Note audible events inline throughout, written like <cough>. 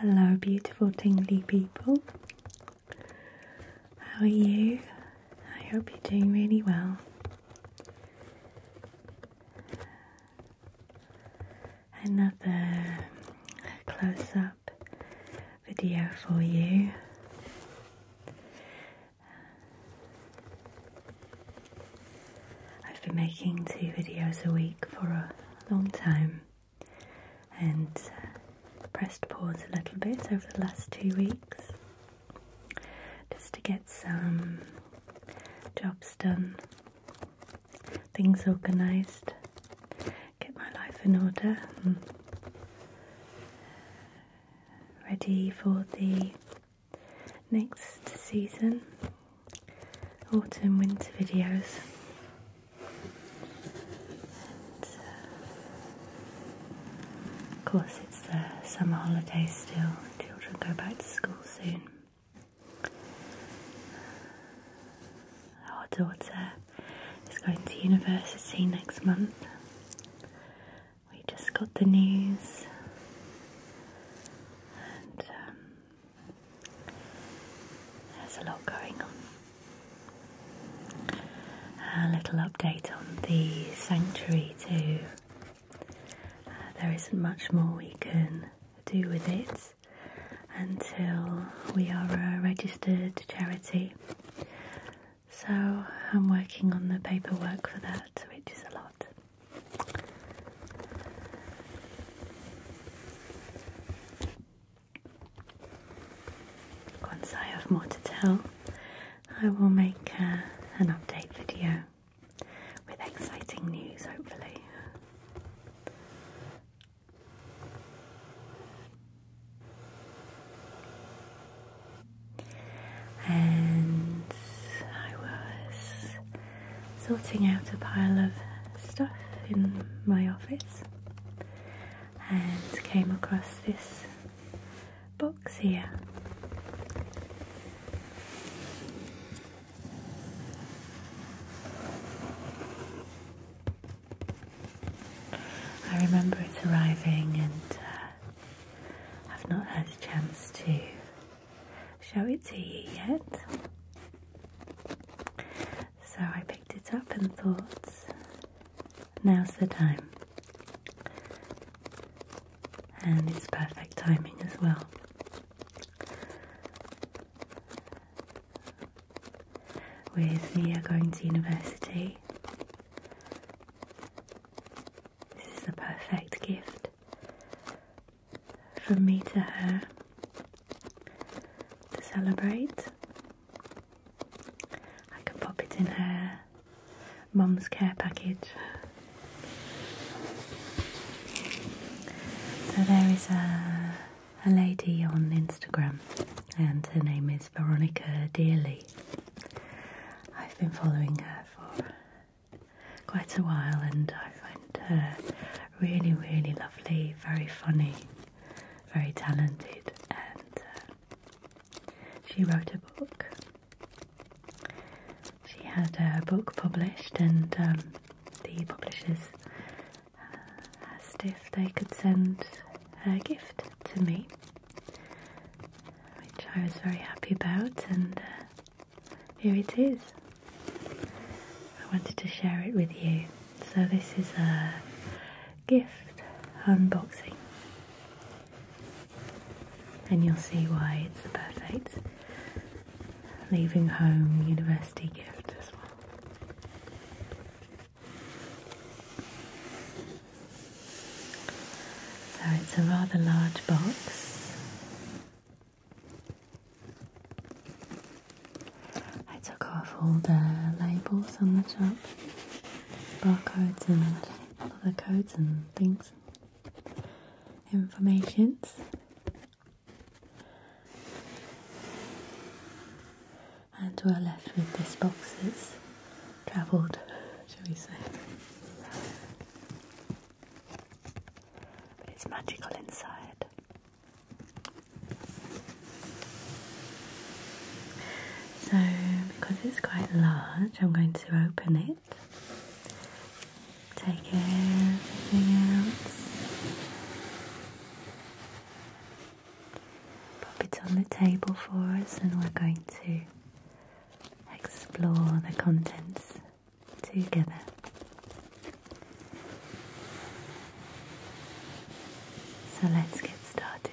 Hello, beautiful tingly people. How are you? I hope you're doing really well. Another close up video for you. I've been making two videos a week for a long time and uh, pressed pause a little bit over the last two weeks just to get some jobs done, things organised get my life in order. Hmm. Ready for the next season, autumn winter videos. Uh, of course, it's the summer holidays still, children go back to school soon. Our daughter is going to university next month. We just got the news, and um, there's a lot going on. A little update on the sanctuary, too. Uh, there isn't much more we can do with it until we are a registered charity so I'm working on the paperwork for that, which is a lot. Once I have more to tell, I will make uh, an update video with exciting news, hopefully. And I was sorting out a pile of stuff in my office and came across this box here. I remember it arriving and uh, I've not had a chance to show it to you yet. So I picked it up and thought, now's the time. And it's perfect timing as well with me going to university. This is the perfect gift from me to her to celebrate. I can pop it in her mum's care package. So there is a a lady on Instagram, and her name is Veronica Dearly. I've been following her for quite a while, and I find her really, really lovely, very funny, very talented, and uh, she wrote a book. She had a book published, and um, the publishers asked if they could send a gift to me, which I was very happy about, and uh, here it is. I wanted to share it with you. So, this is a gift unboxing, and you'll see why it's the perfect leaving home university gift as well. So it's a rather large box. I took off all the labels on the top, barcodes and other codes and things, informations and we're left with this box that's travelled, shall we say. But it's magical inside. So, because it's quite large, I'm going to open it, take everything out. Pop it on the table for us, and we're going to explore the contents together. So let's get started.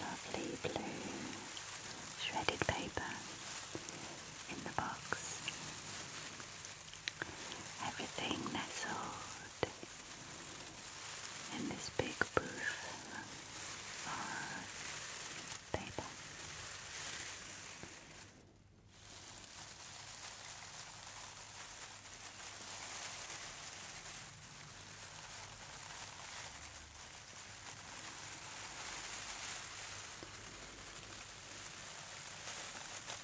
Lovely blue shredded paper in the box. Everything nestled out in this big booth for paper.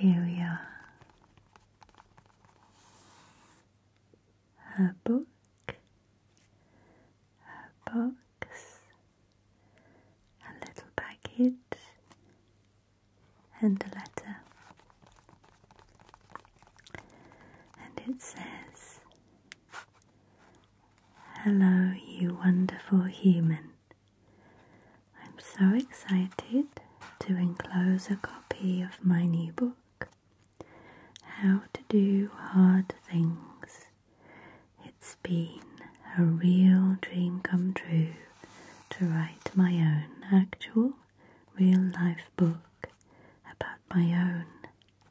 And here we are her book, her box, a little package, and a letter. And it says, Hello, you wonderful human. I'm so excited to enclose a copy of my new book, How to Do Hard Things. It's been a real dream come true to write my own actual real life book about my own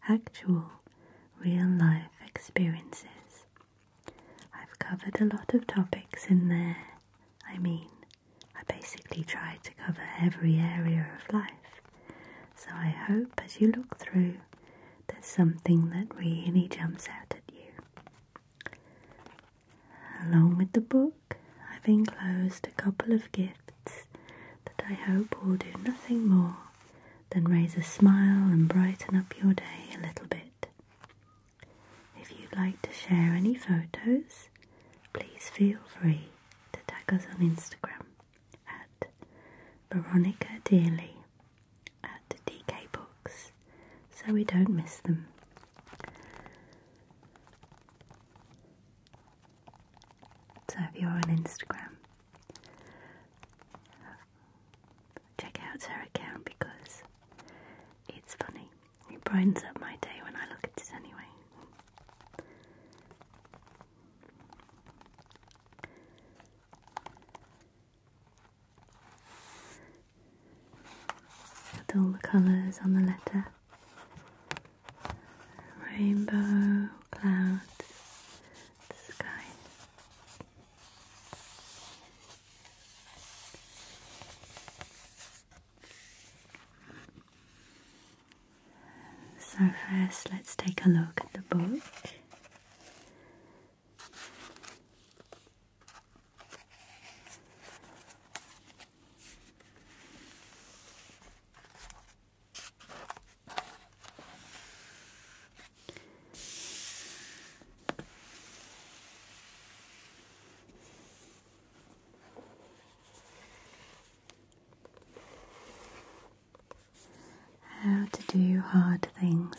actual real life experiences. I've covered a lot of topics in there I mean, I basically try to cover every area of life, so I hope as you look through, there's something that really jumps out at you. Along with the book, I've enclosed a couple of gifts that I hope will do nothing more than raise a smile and brighten up your day a little bit. If you'd like to share any photos please feel free to tag us on Instagram at Veronica Dearly at DK Books so we don't miss them. So if you're on Instagram, check out her account because it's funny. It brightens up my day when I look at it anyway. With all the colours on the letter rainbow, clouds, sky. So, first, let's take a look at the book. How to do hard things.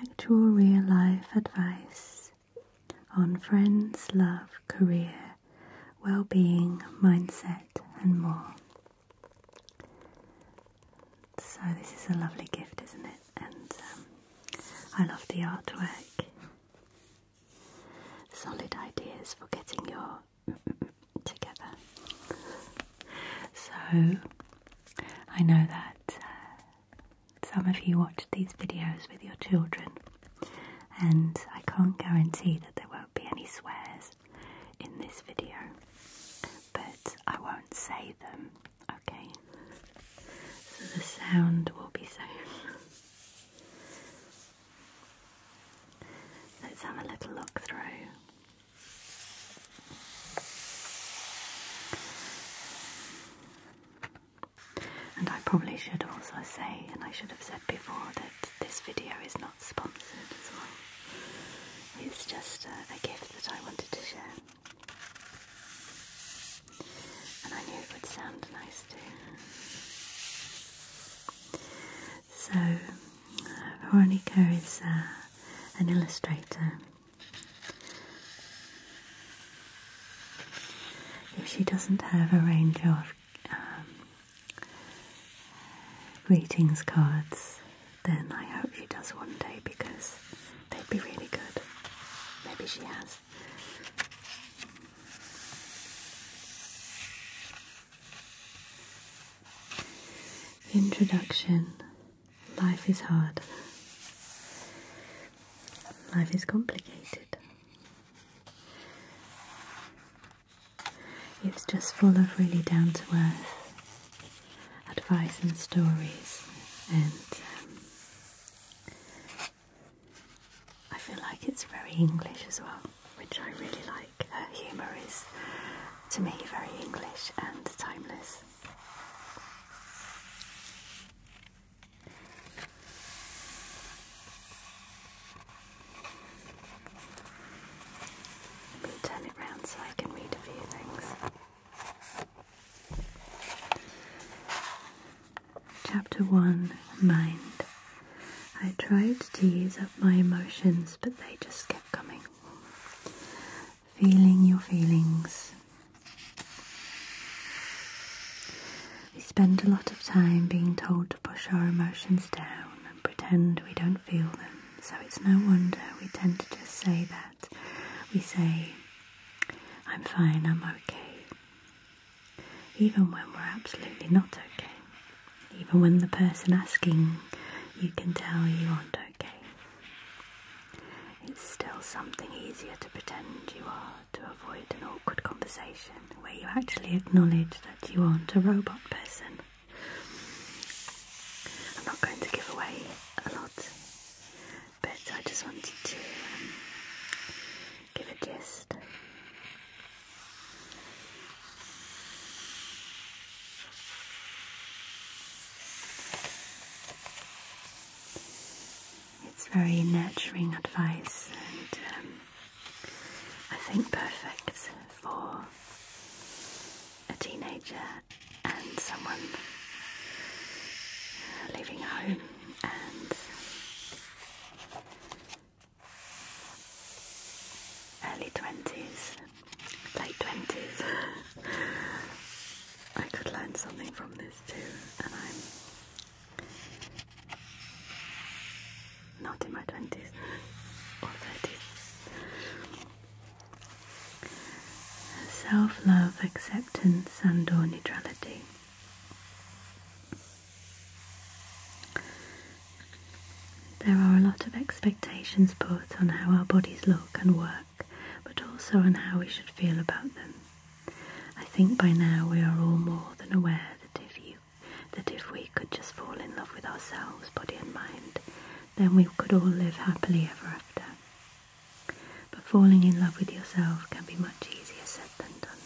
Actual real life advice on friends, love, career, well being, mindset, and more. So, this is a lovely gift, isn't it? And um, I love the artwork solid ideas for getting your together. So, I know that uh, some of you watch these videos with your children, and I can't guarantee that there won't be any swears in this video, but I won't say them Okay, so the sound will be safe. Let's have a little look through. And I probably should also say, and I should have said before, that this video is not sponsored It's just a gift that I wanted to share. And I knew it would sound nice too. So, uh, Veronica is uh, an illustrator. If she doesn't have a range of um, greetings cards, then I hope she does one day because they'd be really good. Maybe she has. Introduction Life is hard. Life is complicated. It's just full of really down to earth advice and stories and um, I feel like it's very English as well, which I really like. Her humour is, to me, very English and timeless. Let me turn it round so I can read a few things. Chapter 1 Mind. I tried to use up my emotions, but they just kept coming. Feeling your feelings. We spend a lot of time being told to push our emotions down and pretend we don't feel them, so it's no wonder we tend to just say that. We say, I'm fine, I'm okay. Even when we're absolutely not okay. Even when the person asking you can tell you aren't okay. It's still something easier to pretend you are to avoid an awkward conversation where you actually acknowledge that you aren't a robot person. I'm not going to give away a lot but I just wanted to um, give a gist. It's very nurturing advice and um, I think perfect for a teenager and someone leaving home early 20s, late 20s. I could learn something from this too, and I'm not in my 20s or 30s self love, acceptance, and or neutrality. There are a lot of expectations put on how our bodies look and work, but also on how we should feel about them. I think by now we are all more than aware that if you that if we could just fall in love with ourselves, body and mind, then we could all live happily ever after. But falling in love with yourself can be much easier said than done.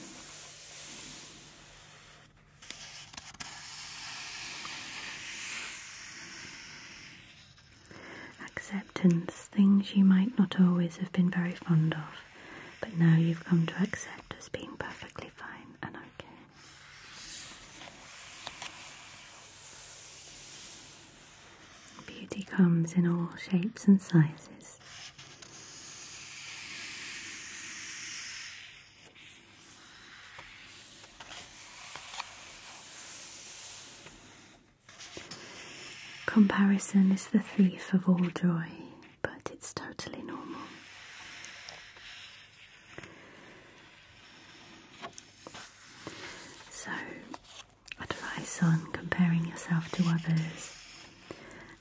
Acceptance, things you might not always have been very fond of, but now you've come to accept as being perfectly fine and okay. Beauty comes in all shapes and sizes. Comparison is the thief of all joy, but it's totally normal. So, Advice on comparing yourself to others,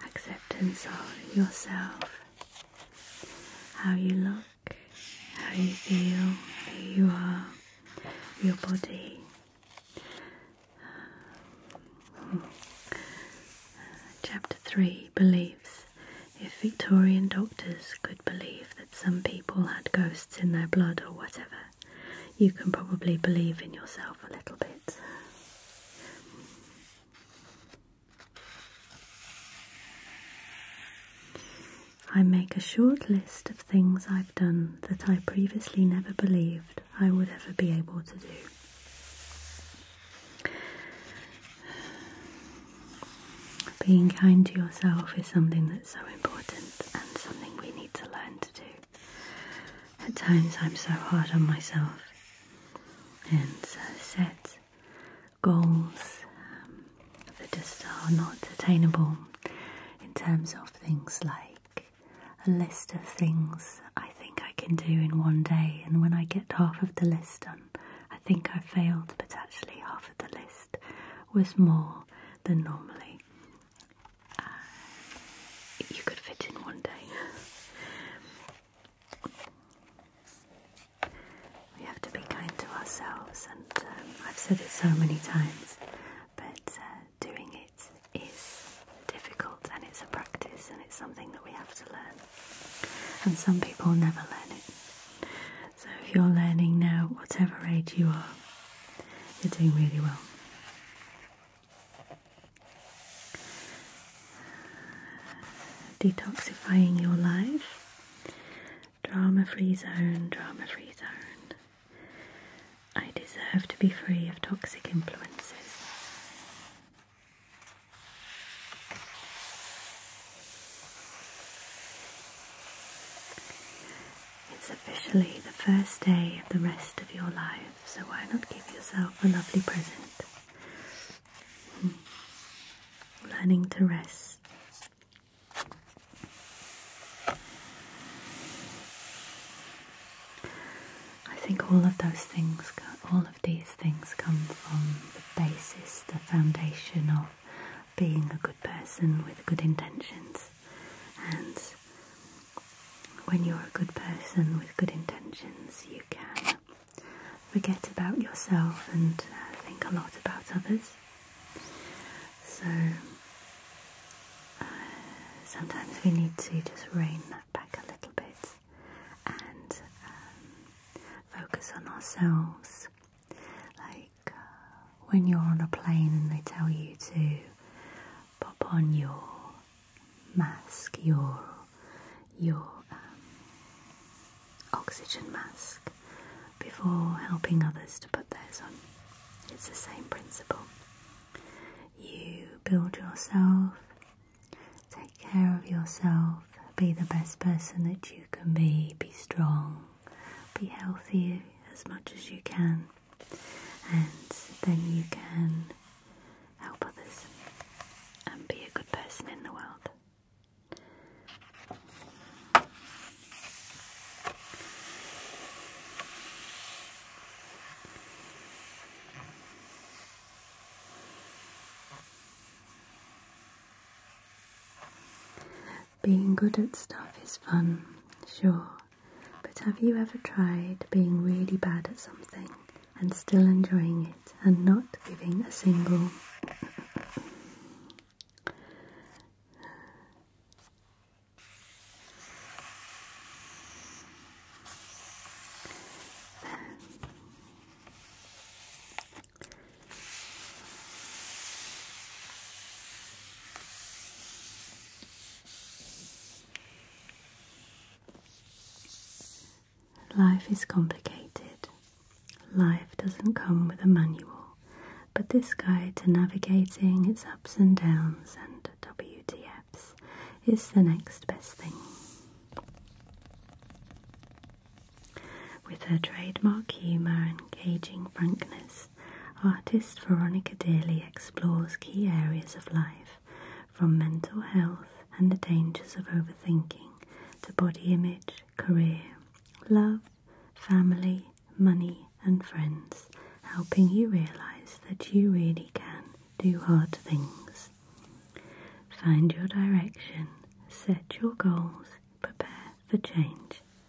acceptance of yourself, how you look, how you feel, who you are, your body, Chapter 3 Beliefs. If Victorian doctors could believe that some people had ghosts in their blood or whatever, you can probably believe in yourself a little bit. I make a short list of things I've done that I previously never believed I would ever be able to do. Being kind to yourself is something that's so important and something we need to learn to do. At times I'm so hard on myself and uh, set goals um, that just are not attainable in terms of things like a list of things I think I can do in one day, and when I get half of the list done, I think I failed, but actually, half of the list was more than normally and uh, you could fit in one day. we have to be kind to ourselves, and um, I've said it so many times, but uh, doing it is difficult and it's a practice and it's something that we have to learn. And some people never learn it. So if you're learning now, whatever age you are, you're doing really well. Detoxifying your life. Drama free zone, drama free zone. I deserve to be free of toxic influences. It's officially the first day of the rest of your life, so why not give yourself a lovely present? Hmm. Learning to rest. I think all of those things, all of these things come from the basis, the foundation of being a good person with good intentions and when you're a good person with good intentions, you can forget about yourself and uh, think a lot about others. So uh, sometimes we need to just rein that back a little bit and um, focus on ourselves. Like uh, when you're on a plane and they tell you to pop on your mask, your your um, oxygen mask before helping others to put theirs on. It's the same principle. You build yourself, take care of yourself, be the best person that you can be, be strong, be healthy as much as you can, and then you can help others and be a good person in the world. Being good at stuff is fun, sure, but have you ever tried being really bad at something and still enjoying it and not giving a single? Life is complicated. Life doesn't come with a manual, but this guide to navigating its ups and downs and WTFs is the next best thing. With her trademark humour and gauging frankness, artist Veronica Daly explores key areas of life, from mental health and the dangers of overthinking to body image, career, love, family, money, and friends, helping you realize that you really can do hard things. Find your direction, set your goals, prepare for change.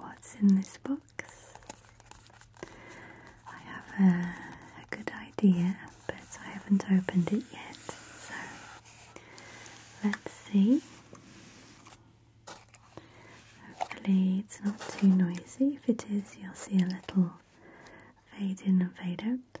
What's in this box? I have a, good idea, but I haven't opened it yet, so let's see. Hopefully, it's not too noisy. If it is, you'll see a little fade in and fade out.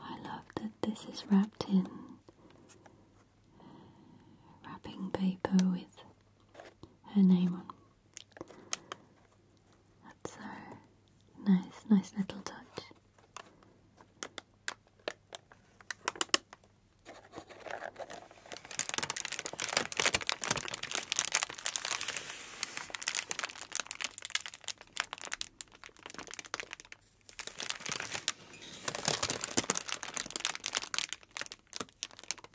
I love that this is wrapped in wrapping paper with her name on. That's so nice, nice little touch.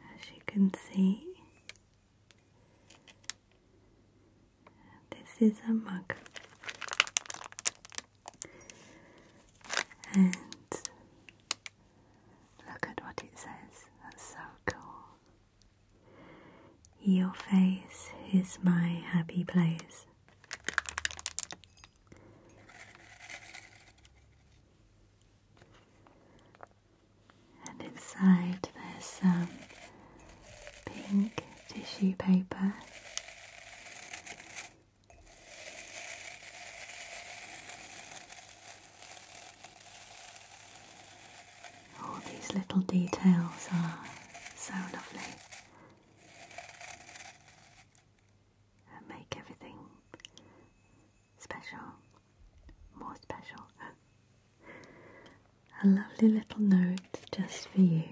As you can see, this is a mug, and look at what it says. That's so cool. Your face is my happy place. And inside there's some pink tissue paper. All these little details are so lovely and make everything special, more special. A lovely little note just for you.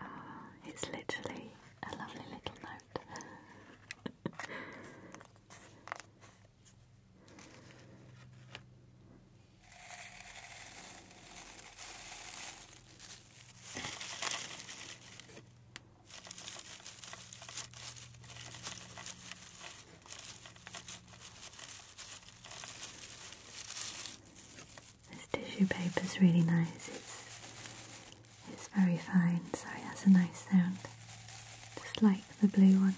Ah, it's literally a lovely little note. <laughs> This tissue paper is really nice. It's it's very fine. Sorry, that's a nice sound. Just like the blue one.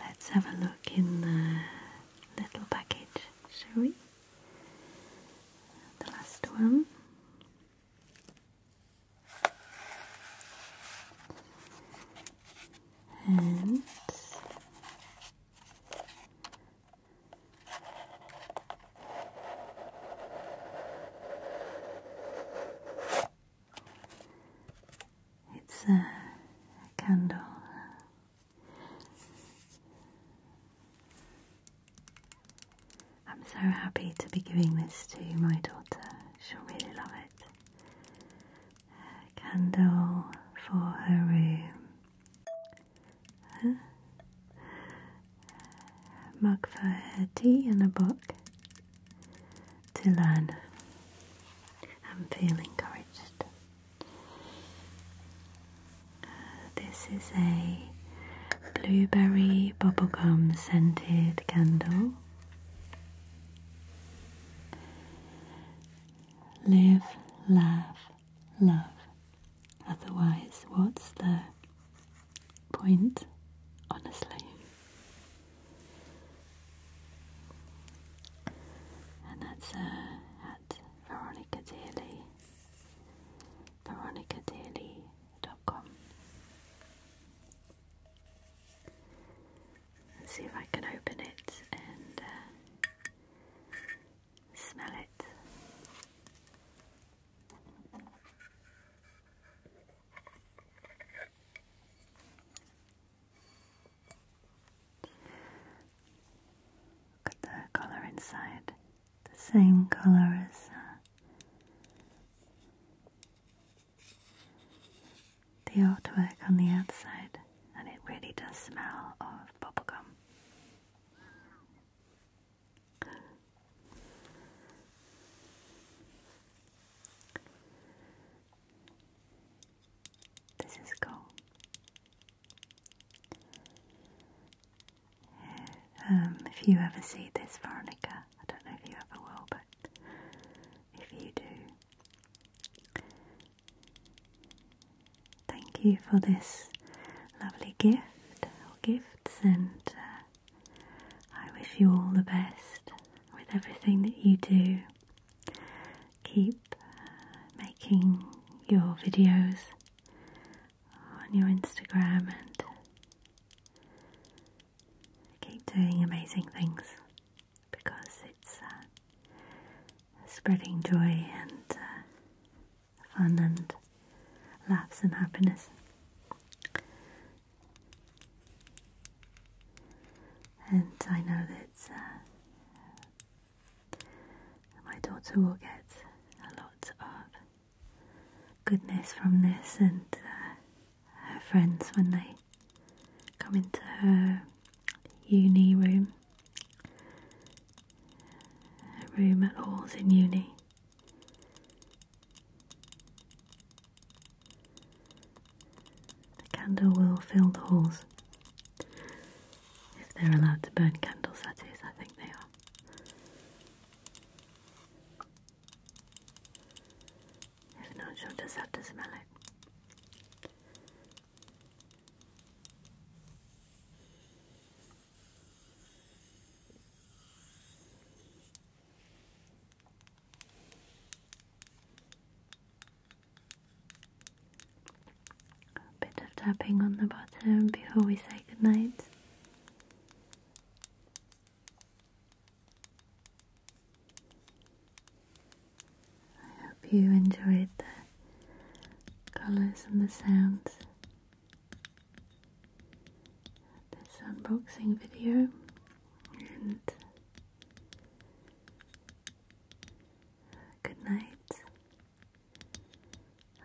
Let's have a look in the little package, shall we? The last one. And it's a, candle. I'm so happy to be giving this to my daughter. She'll really love it. candle for her room mug for her tea and a book to learn and feel encouraged. this is a blueberry bubblegum scented candle. Live, laugh, love. Otherwise, what's the point, honestly? And that's uh, at Veronica Daily, veronicadearly.com. let see if I can open it and uh, smell it. Look at the colour inside, the same colour as uh, the artwork on the outside, and it really does smell of bubblegum. This is cool. Um, if you ever see this Veronica, I don't know if you ever will, but if you do, thank you for this lovely gift or gifts, and uh, I wish you all the best with everything that you do. Keep making your videos on your Instagram and keep doing amazing things because it's uh, spreading joy and uh, fun and laughs and happiness. And I know that uh, my daughter will get a lot of goodness from this, and uh, her friends when they come into her uni room, her room at Halls in uni the candle will fill the holes. If they're allowed to burn candles, that is, I think they are. If not, you'll just have to smell it. A bit of tapping on the bottom before we say goodnight. I hope you enjoyed the colours and the sounds this unboxing video and good night.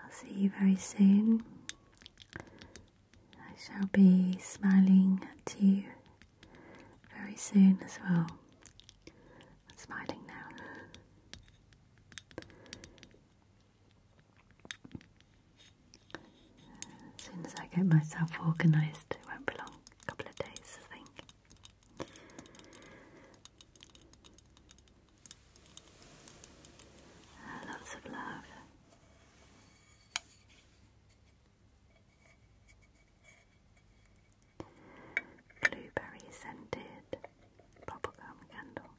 I'll see you very soon. I shall be smiling at you very soon as well. smiling now. As soon as I get myself organised, it won't be long, a couple of days, I think. Ah, lots of love. Blueberry scented bubblegum candle.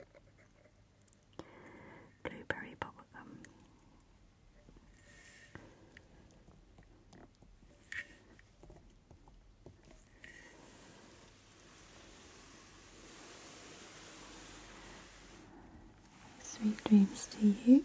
Blueberry bubblegum. Sweet dreams to you